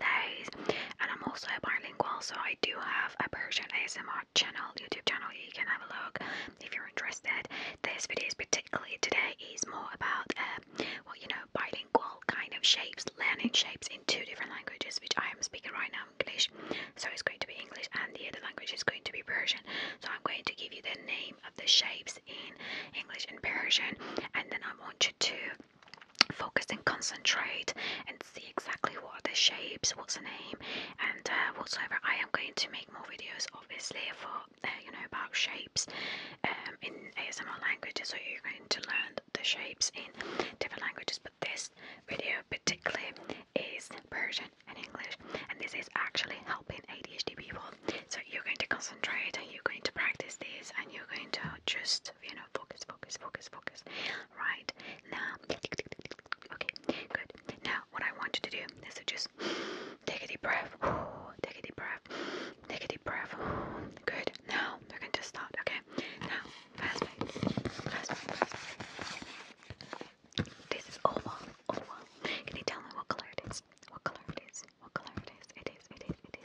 and I'm also bilingual, so I do have a Persian ASMR channel, YouTube channel. You can have a look if you're interested. This video, is particularly today, is more about uh, well, you know, bilingual kind of shapes, learning shapes in two different languages, which I am speaking right now English. So it's going to be English, and the other language is going to be Persian. So I'm going to give you the name of the shapes in English and Persian, and then I want you to focus and concentrate and see exactly what are the shapes, what's the name, and uh, whatsoever. I am going to make more videos, obviously, for uh, you know about shapes um, in ASMR languages, so you're going to learn the shapes in different languages. But this video, particularly, is Persian and English, and this is actually helping ADHD people. So you're going to concentrate, and you're going to practice this, and you're going to just you know, focus, focus, focus, focus. Right now, okay, good. Now, what I want you to do is to just take a deep breath, take a deep breath, take a deep breath. Good. Now we are going to start. Okay. Now, fast pace, fast pace, This is oval, oval. Can you tell me what color it is? What color it is? What color it is? It is. It is. It is.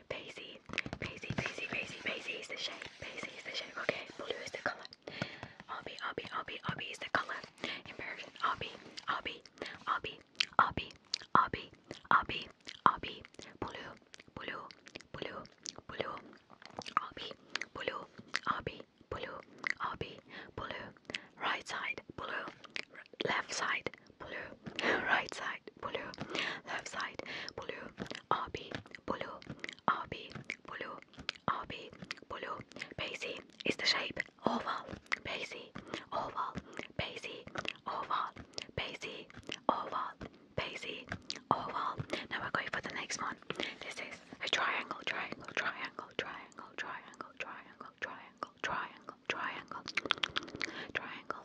Paisy, Paisy, Paisy, Paisy, Paisy is the shade. Paisy is the shade. Okay, blue is the color. Obby, Obby, Obby, Obby is the color. In Persian, Obby, Obby, Obby, Obby, Obby, Obby, Obby, blue, blue, blue, blue, Obby, blue, Obby, blue, Obby, blue. Right side, blue. Left side, side, blue. Right side, blue. Left side, blue. RB, blue. RB, blue. RB, blue. Basie is the shape. Oval, basie, oval, basie, oval, basie, oval, basie, oval. Now we're going for the next one. This is a triangle, triangle, triangle, triangle, triangle, triangle, triangle, triangle, triangle, triangle,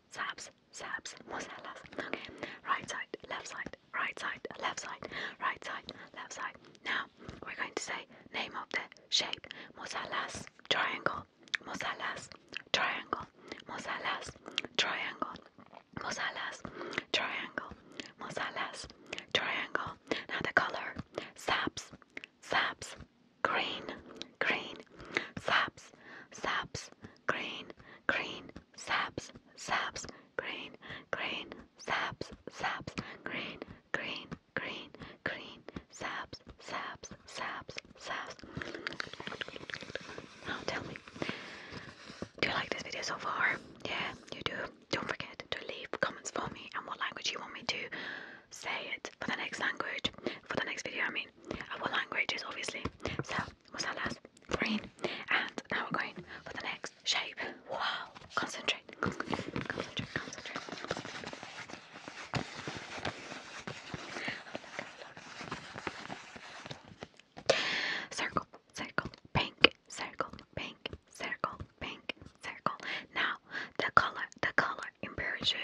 saps, saps, mosellas. Okay, right side, left side, right side, left side, right side, left side. Now we're going to say name of the shape. Mosellas, triangle, mosellas, triangle, mosellas, triangle, mosellas, triangle, mosellas, triangle. Now the color, saps, saps, green, green, saps, saps, green, green, saps, saps, green, green, saps, saps, green, green, green, green, saps, saps, saps, saps. Now oh, tell me, do you like this video so far? Yeah, you do. Don't forget to leave comments for me and what language you want me to say it for the next language, for the next video. I mean, I want languages obviously. So, what's that last? green, and now we're going for the next shape. Wow, concentrate, concentrate, concentrate, concentrate. Circle, circle, pink, circle, pink, circle, pink, circle. Now the color, the color in Persian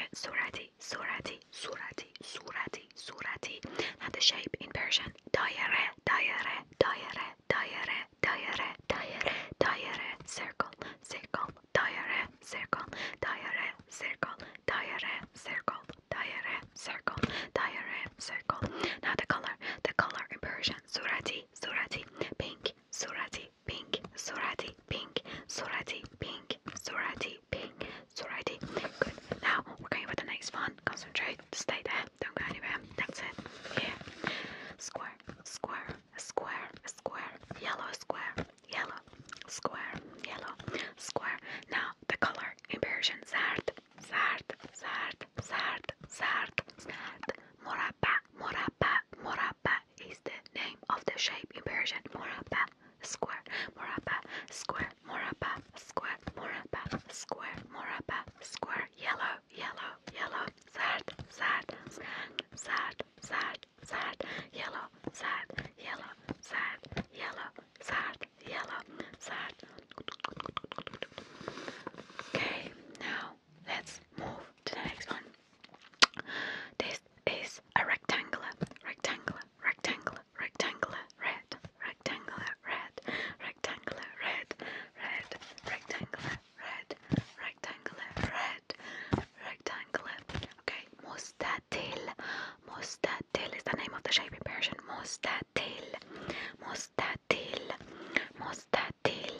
surati, surati, surati, surati. Now the shape in Persian, daire, daire, daire, daire, daire, daire, daire, circle, circle, daire, circle, daire, circle, daire, circle, daire, circle, daire, circle. Now the color, the color in Persian, surati, surati, pink, surati, pink, surati, pink, surati, pink, sleeping. It's alrighty. Good. Now we're going for the next one. Concentrate. Stay there. Don't go anywhere. That's it. Here. Square. Square. Square. Square. Yellow. Square. Yellow. Square. Yellow. Square. Now the color in Zard. Zard. Zard. Zard. Zard. Zard. Morabba. Morabba. Morabba is the name of the shape in Persian. Morabba morapa, square, morapa, square, morapa, square, morapa, square, morapa, square, yellow, yellow, yellow, sad, sad, sad, sad, sad, yellow, sad, yellow, sad, yellow, sad, yellow, sad. Okay, now let's move to the next one. This is a rectangular, rectangular, rectangle, rectangular, red, rectangular, red, rectangular, red, red, rectangular, red, rectangular, red, rectangular. Okay, mustatil, mustatil is the name of the shape in Persian. Mustatil, mustatil, mustatil.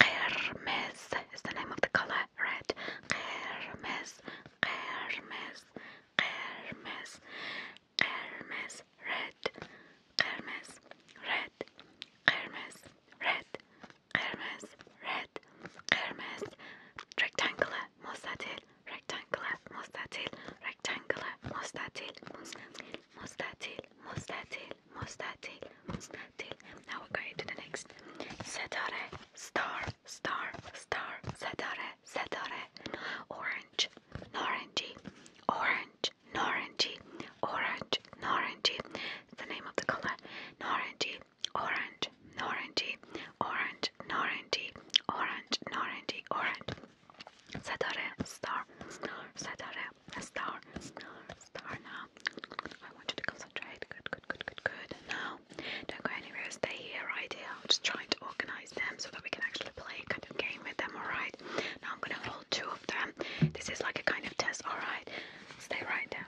Qirmiz is the name of the color red. Qirmiz, qirmiz, قرمز قرمز red قرمز red قرمز red قرمز red قرمز rectangular مستطيل rectangular مستطيل rectangular مستطيل مستطيل مستطيل مستطيل مستطيل مستطيل now we're going to the next ستارة star star star, ستاره, ستاره, orange, orangey, orange, orangey, orange, orangey. It's the name of the color, orangey, orange, orangey, orange, orangey, orange, orangey, orange. ستاره, star, star, ستاره, star, star, star. Now, I want you to concentrate. Good, good, good, good, good. Now, don't go anywhere, stay here right here. I'm just trying to organize them so that we can actually play a kind of game with them, alright? Now I'm gonna hold two of them. This is like a kind of test, alright? Stay right there.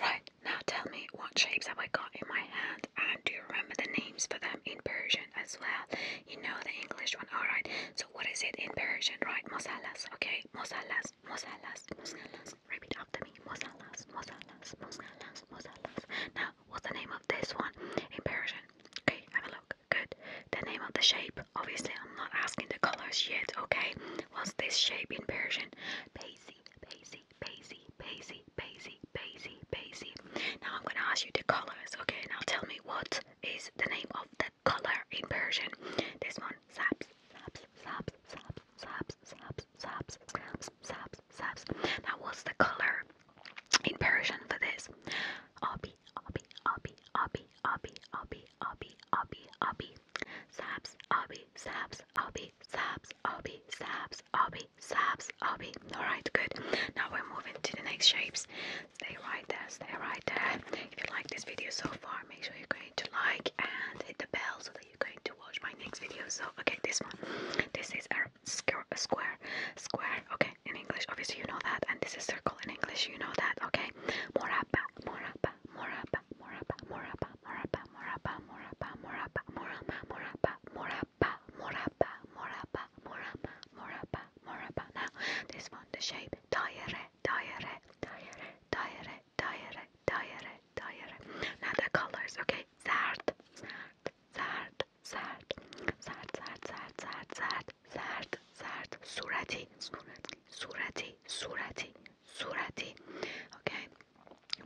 Right, now tell me what shapes have I got in my hand and do you remember the names for them in Persian as well? You know the English one, alright? So what is it in Persian, right? Mosallas, okay? Mosallas, mosallas, mosallas. Repeat after me. Mosalas, Mosalas, Mosalas, Mosalas. Now, what's the name of this one in Persian? Okay, have a look. Good. The name of the shape. Obviously, I'm not asking the colors yet, okay? What's this shape in Persian? Paisy, paisy, paisy, paisy, paisy, paisy, paisy. Now, I'm going to ask you the colors, okay? Now, tell me what is the name of the color in Persian? This one, saps, saps, saps, saps, saps, saps saps, saps, saps, saps, Now, what's the color in Persian for this? Abi, abi, abi, abi, abi, abi, abi, abi, abi. Saps, abi, saps, abi, saps, abi, saps, abi, saps, abi. All right, good. Now we're moving to the next shapes. Stay right there, stay right there. If you like this video so far, make sure you're going to like and hit the bell are you going to watch my next video? So, okay, this one. This is a square, square, square. Okay, in English, obviously you know that, and this is circle in English, you know that. Okay, morapa, morapa, morapa, morapa, morapa, morapa, morapa, morapa, morapa, morapa, morapa, morapa, morapa, morapa, morapa, morapa, morapa. Now, this one, the shape, daire, daire, daire, daire, daire, daire, daire. Now the colors, okay? Zart, zart, zart, zart, zart, zart, zart, zart, zart, zart, zart, surati, surati, surati, surati, surati. Okay?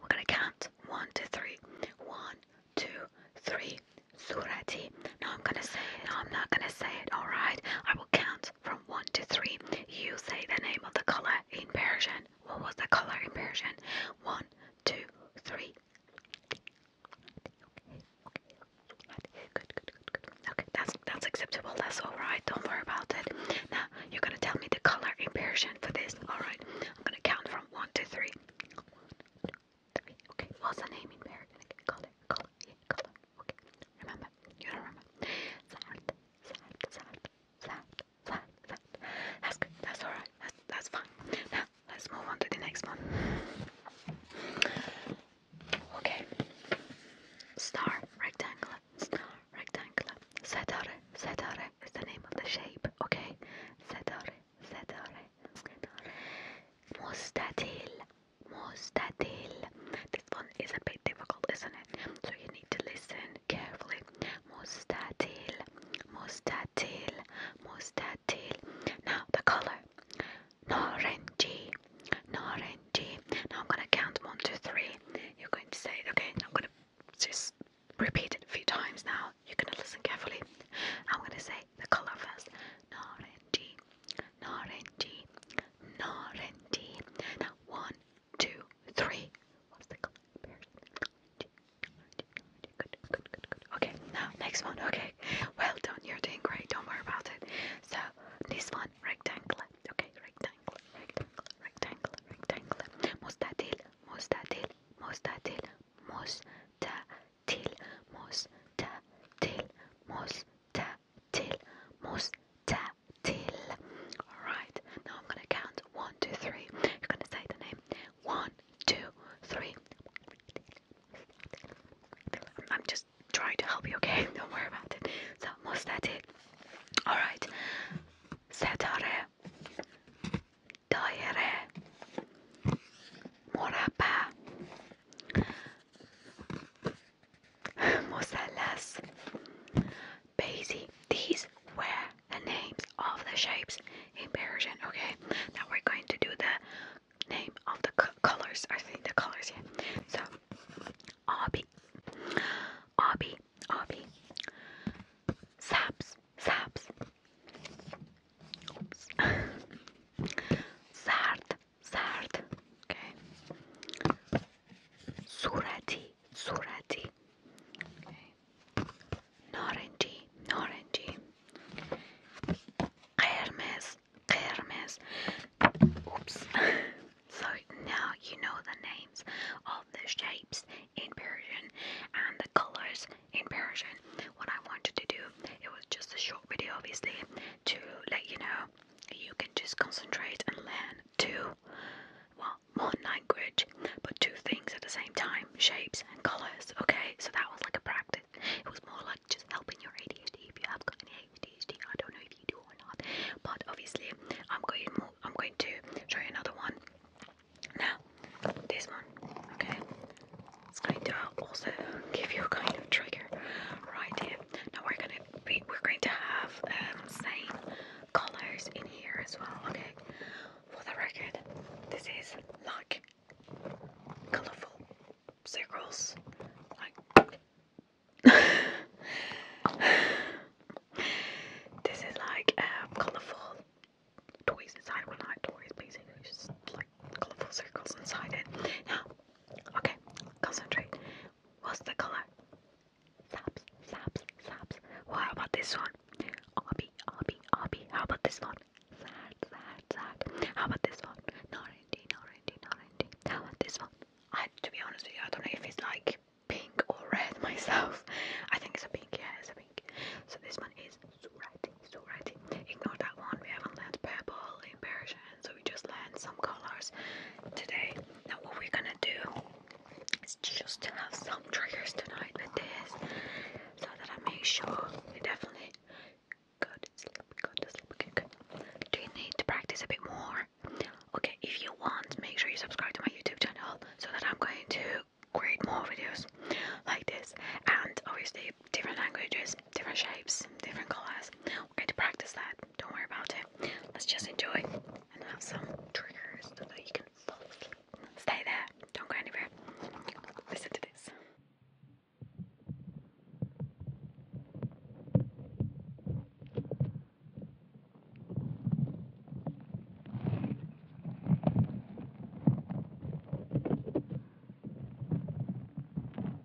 We're gonna count one to three. One, two, three. Surati. No, I'm gonna say it. No, I'm not gonna say it. All right. I will count from one to three. You say the name of the color in Persian. What was the color in Persian? One, two, three. Good, good, good, good. Okay, that's that's acceptable. That's all right. Don't worry about it. Now you're gonna tell me the color in Persian for this. All right. I'm gonna count from one to three. One, two, three. Okay. What's the name in Persian? color, color, color. Okay. Remember. You remember. Zart, zart, zart, zart, that's good. That's all right. That's that's fine. Now let's move on to the next one. Okay. Star rectangular. Star rectangular. Setare. Setare is the name of the shape. Okay. Setare. Setare. Setare. Mustatil. Mustatil. This one is a bit difficult, isn't it? So you need to listen carefully Mustatil, mustatil, mustatil. Now the color. Norangy, norangy. Now I'm gonna count one, two, three. You're going to say, okay, now I'm gonna just repeat it a few times now. You're gonna listen carefully. I'm gonna say the color first. Norangy, norangy, norangy. Now one, two, three. What's the color? Good, good, good, good. Okay, now next one. Okay, well done. You're doing great. Don't worry about it. So this one, rectangle. Okay, rectangle, rectangle, rectangle, rectangle. Mustatil, mustatil, mustatil, mustatil, mustatil, mustatil, mustatil, till. Alright, now I'm gonna count one, two, three. You're gonna say the name one, two, three. I'm just trying to help you, okay? Don't worry about it. So, mostati. Alright. Setare. Daire. Morabba. Musallas. Basie. These were the names of the shapes in Persian. Okay, now we're going to do the name of the colors. I think the colors here. Yeah. So, Abi, Abi, Abi, Saps, Saps, Oops. Sard, Zard. Okay. Surati, surati. Norenji, norenji. Hermes, Hermes. Oops. so now you know the names of the shapes in Persian and the colors in Persian. What I wanted to do, it was just a short video obviously, to let you know you can just concentrate and learn two, well, one language, but two things at the same time, shapes and colours, okay? So that was like a practice. It was more like just helping your ADHD if you have got any ADHD. I don't know if you do or not, but obviously I'm going I'm going to show you another one. Now, this one, okay? It's going to also give you a kind of trigger right here. Now we're gonna be we're going to have um, same colors in here as well. Okay, for the record, this is like colorful circles, like. this is like um, colorful toys inside. Well, not toys, basically, just like colorful circles inside it. Now, okay, concentrate. What's the color? Sobs, sobs, sobs. Well, about this one? Obby, obby, obby. How about this one? Sad, sad, sad. How about this one? Orangey, orangey, orangey. How about this one? I, to be honest with you, I don't know if it's like pink or red myself. I think it's a pink, yeah, it's a pink. So this one is so surati. Ignore that one, we haven't learned purple in Persian, so we just learned some colors today. Now what we're gonna do is just to have some triggers tonight with this, so that I make sure we definitely go to sleep, go to sleep, okay, good. Do you need to practice a bit more? Okay, if you want, make sure you subscribe to my YouTube channel, so that I'm going to create more videos like this, and obviously different languages, different shapes, different colors we to practice that. Don't worry about it. Let's just enjoy and have some triggers so that you can fall asleep. Stay there. Don't go anywhere. Listen to this.